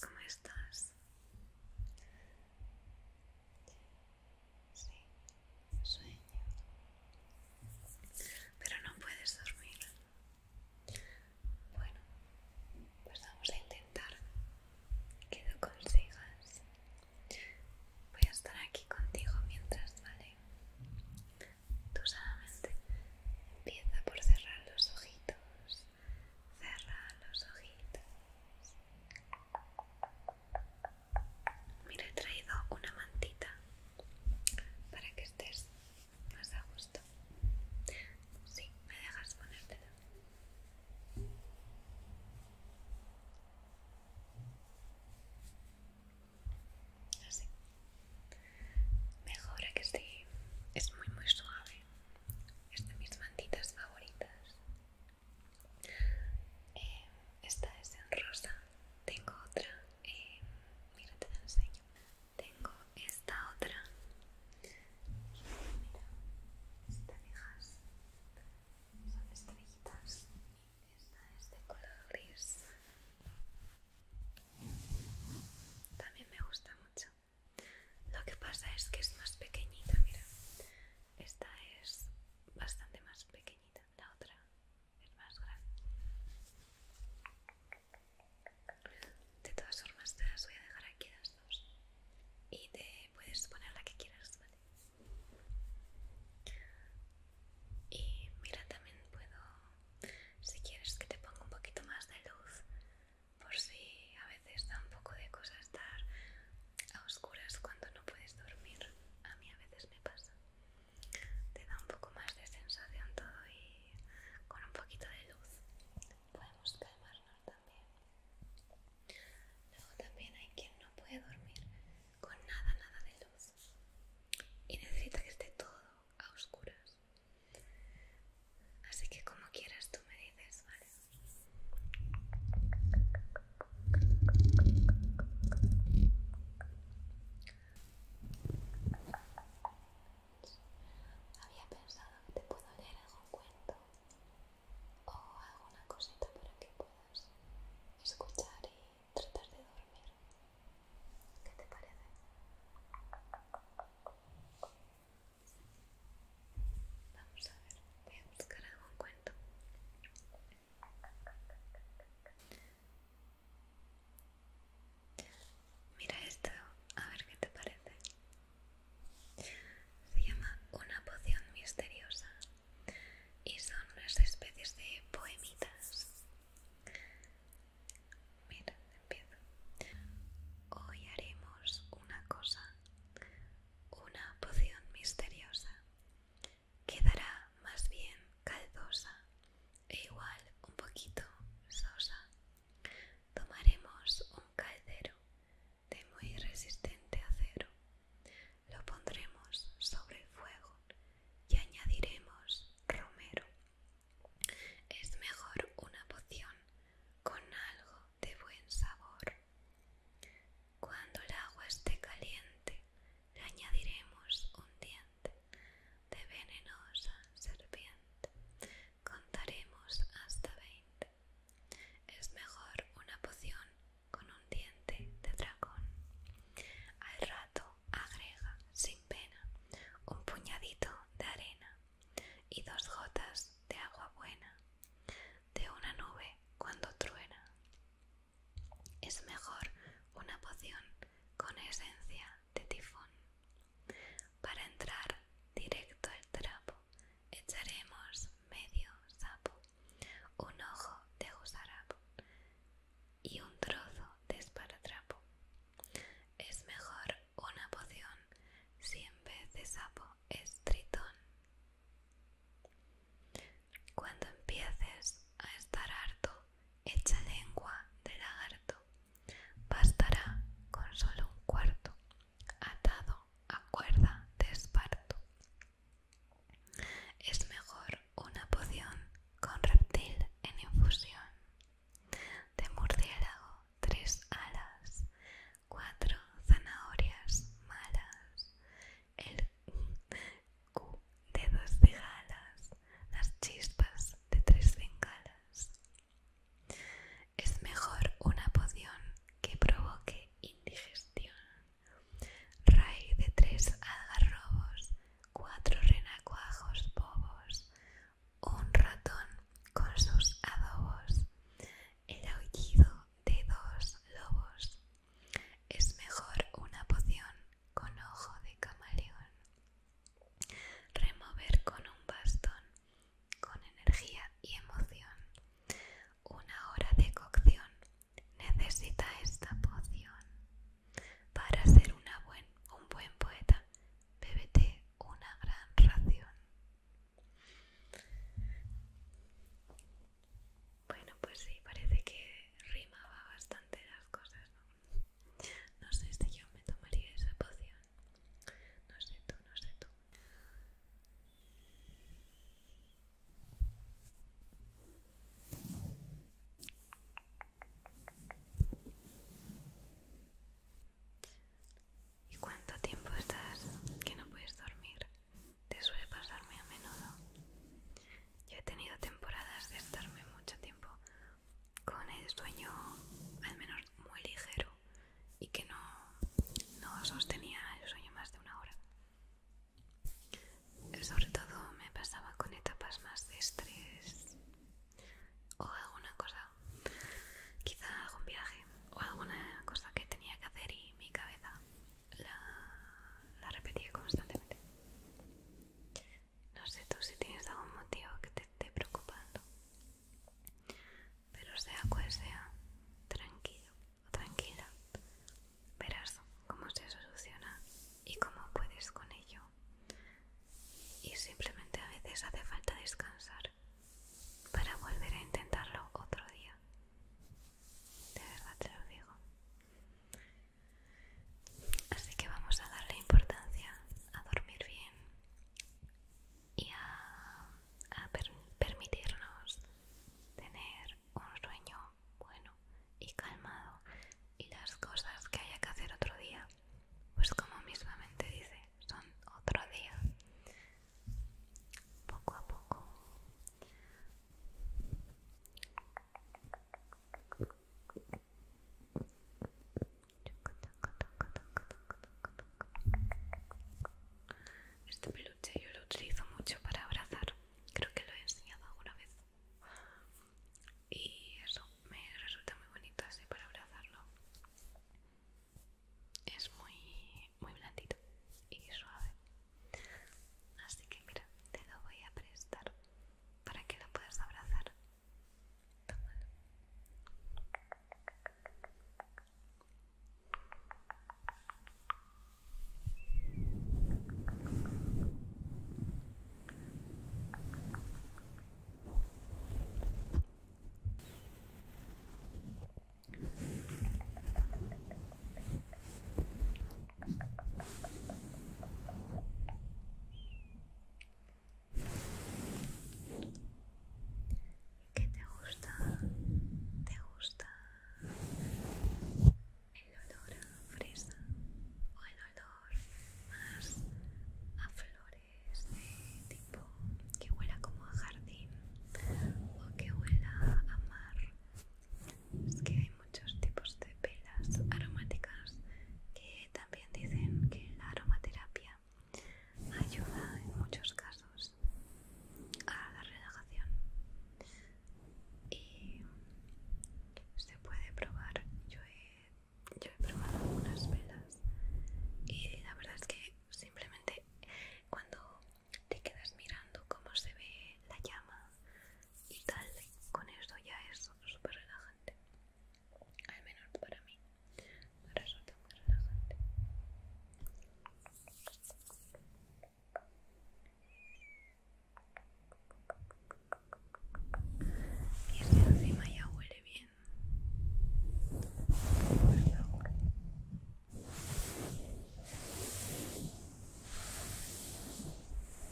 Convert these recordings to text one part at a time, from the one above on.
¿Cómo estás? Sí, sueño. Pero no puedes dormir. Bueno, pues vamos a intentar que lo consigas. Voy a estar aquí contigo mientras, ¿vale? Tú solamente empieza por cerrar los ojitos. Cerra los ojitos. Mira, he traído una mantita para que estés más a gusto. Sí, me dejas ponértela. Así. Mejor que sí. Es muy muy suave. Es de mis mantitas favoritas. Eh, esta es en rosa. Tengo otra. Eh, mira, te la enseño tengo esta otra mira Estas te son estrellitas esta es de color gris también me gusta mucho lo que pasa es que es más pequeñita mira esta es bastante más pequeñita la otra es más grande de todas formas, te las voy a dejar aquí las dos. Y te puedes poner la que quieras, ¿vale? Y mira, también puedo, si quieres que te ponga un poquito más de luz, por si a veces da un poco de cosas estar a oscuras cuando no puedes dormir. A mí a veces me pasa. Te da un poco más de sensación todo y con un poquito de luz podemos calmarnos también. Luego también hay quien no puede dormir con nada, nada de luz y necesita que esté todo a oscuras. Así que como quieras tú me dices, ¿vale? Había pensado que te puedo leer algún cuento o alguna cosita para que puedas escuchar y tratar de dormir. ¿Qué te parece? Vamos a ver, voy a buscar algún cuento. Mira esto, a ver qué te parece. Se llama Una poción misteriosa y son unas especies de poemitas. Mira, empiezo. Hoy haremos una cosa, una poción misteriosa. Quedará más bien caldosa e igual un poquito sosa. Tomaremos un caldero de muy resistente acero. Lo pondremos sobre el fuego y añadiremos romero. Es mejor una poción con algo de buen sabor. Cuando el agua esté caliente, le añadiremos un diente de venenosa serpiente. Contaremos hasta 20. Es mejor una poción con un diente de dragón. Al rato agrega, sin pena, un puñadito de arena y dos gotas de agua buena de una nube cuando truena. Es mejor una poción con esencia de tifón. Para entrar directo al trapo echaremos medio sapo, un ojo de gusarapo y un trozo de esparatrapo. Es mejor una poción si en vez de sapo es tritón. Cuando empieces a estar harto, echa lengua de lagarto. Bastará con solo un cuarto atado a cuerda de esparto. Es mejor una poción con reptil en infusión. De murciélago tres alas, cuatro zanahorias malas, el Q de dos cigalas, las chispas de tres bengalas. Es mejor una poción que provoque indigestión. Ray de tres algarrobos, cuatro renacuajos bobos, un ratón con sus adobos, el aullido de dos lobos. Es mejor una poción con ojo de camaleón Remover con un bastón, con energía y emoción. Una hora de cocción necesita esta poción. Para ser un buen poeta, bébete una gran ración. Bueno, pues sí, parece que rimaba bastante las cosas, no sé si este yo me tomaría esa poción. No sé tú, no sé tú. ¿Y cuánto tiempo estás que no puedes dormir? Te suele pasarme a menudo. Yo he tenido temporadas de estarme mucho tiempo con el sueño al menos muy ligero y que no, sostenía el sueño más de una hora. Sobre todo me pasaba con etapas más de estrés o alguna cosa, quizá algún viaje o alguna cosa que tenía que hacer y mi cabeza la, la repetía constantemente. No sé tú si tienes algún motivo que te esté preocupando. Pero sea cual sea, tranquilo o tranquila, verás cómo se soluciona y cómo puedes con ello. Y simplemente a veces hace falta descansar para volver a intentarlo otro día. De verdad te lo digo. Así que vamos a darle importancia a dormir bien y a, permitirnos tener un sueño bueno y calmado y las cosas que haya que hacer otro día, pues como mismamente dice, son otro día. Poco a poco. Este peluche yo lo utilizo mucho para abrazar, creo que lo he enseñado alguna vez. Y eso me resulta muy bonito así para abrazarlo. Es muy, muy blandito y suave. Así que mira, te lo voy a prestar para que la puedas abrazar. ¿Qué te gusta? ¿Te gusta el olor a fresa o el olor más a flores de tipo que huela como a jardín o que huela a mar es que hay muchos tipos de velas aromáticas que también dicen que la aromaterapia ayuda en muchos casos a la relajación y se puede probar. Yo he, he probado algunas velas y la verdad es que simplemente cuando te quedas mirando cómo se ve la llama y tal con esto ya es súper relajante al menos para mí me resulta muy relajante y este encima ya huele bien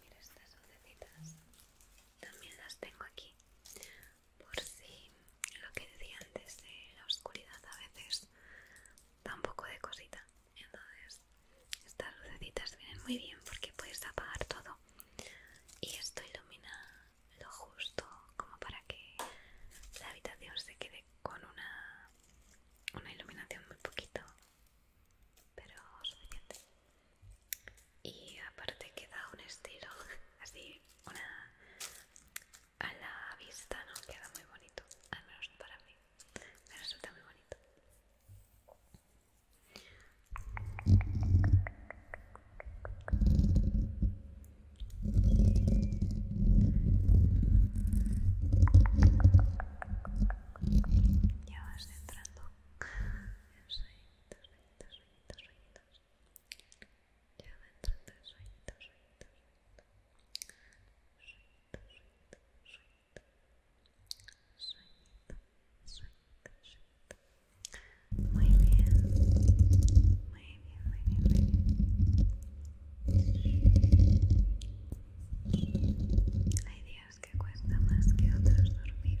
Mira estas lucecitas, también las tengo aquí, por si lo que decía antes de la oscuridad a veces da un poco de cosita entonces estas lucecitas vienen muy bien porque puedes apagar todo y esto ilumina lo justo como para que la habitación se quede con una, una iluminación muy poquito pero suficiente y aparte queda un estilo así una a la vista no queda muy bonito al menos para mí me resulta muy bonito ya vas entrando en sueñitos, sueñitos, sueñitos, ya vas entrando en sueñitos, sueñitos, suelta, suelta, suelta, suelta, suelta. Muy bien, muy bien, muy bien, muy bien. la idea es que cuesta más que otros dormir.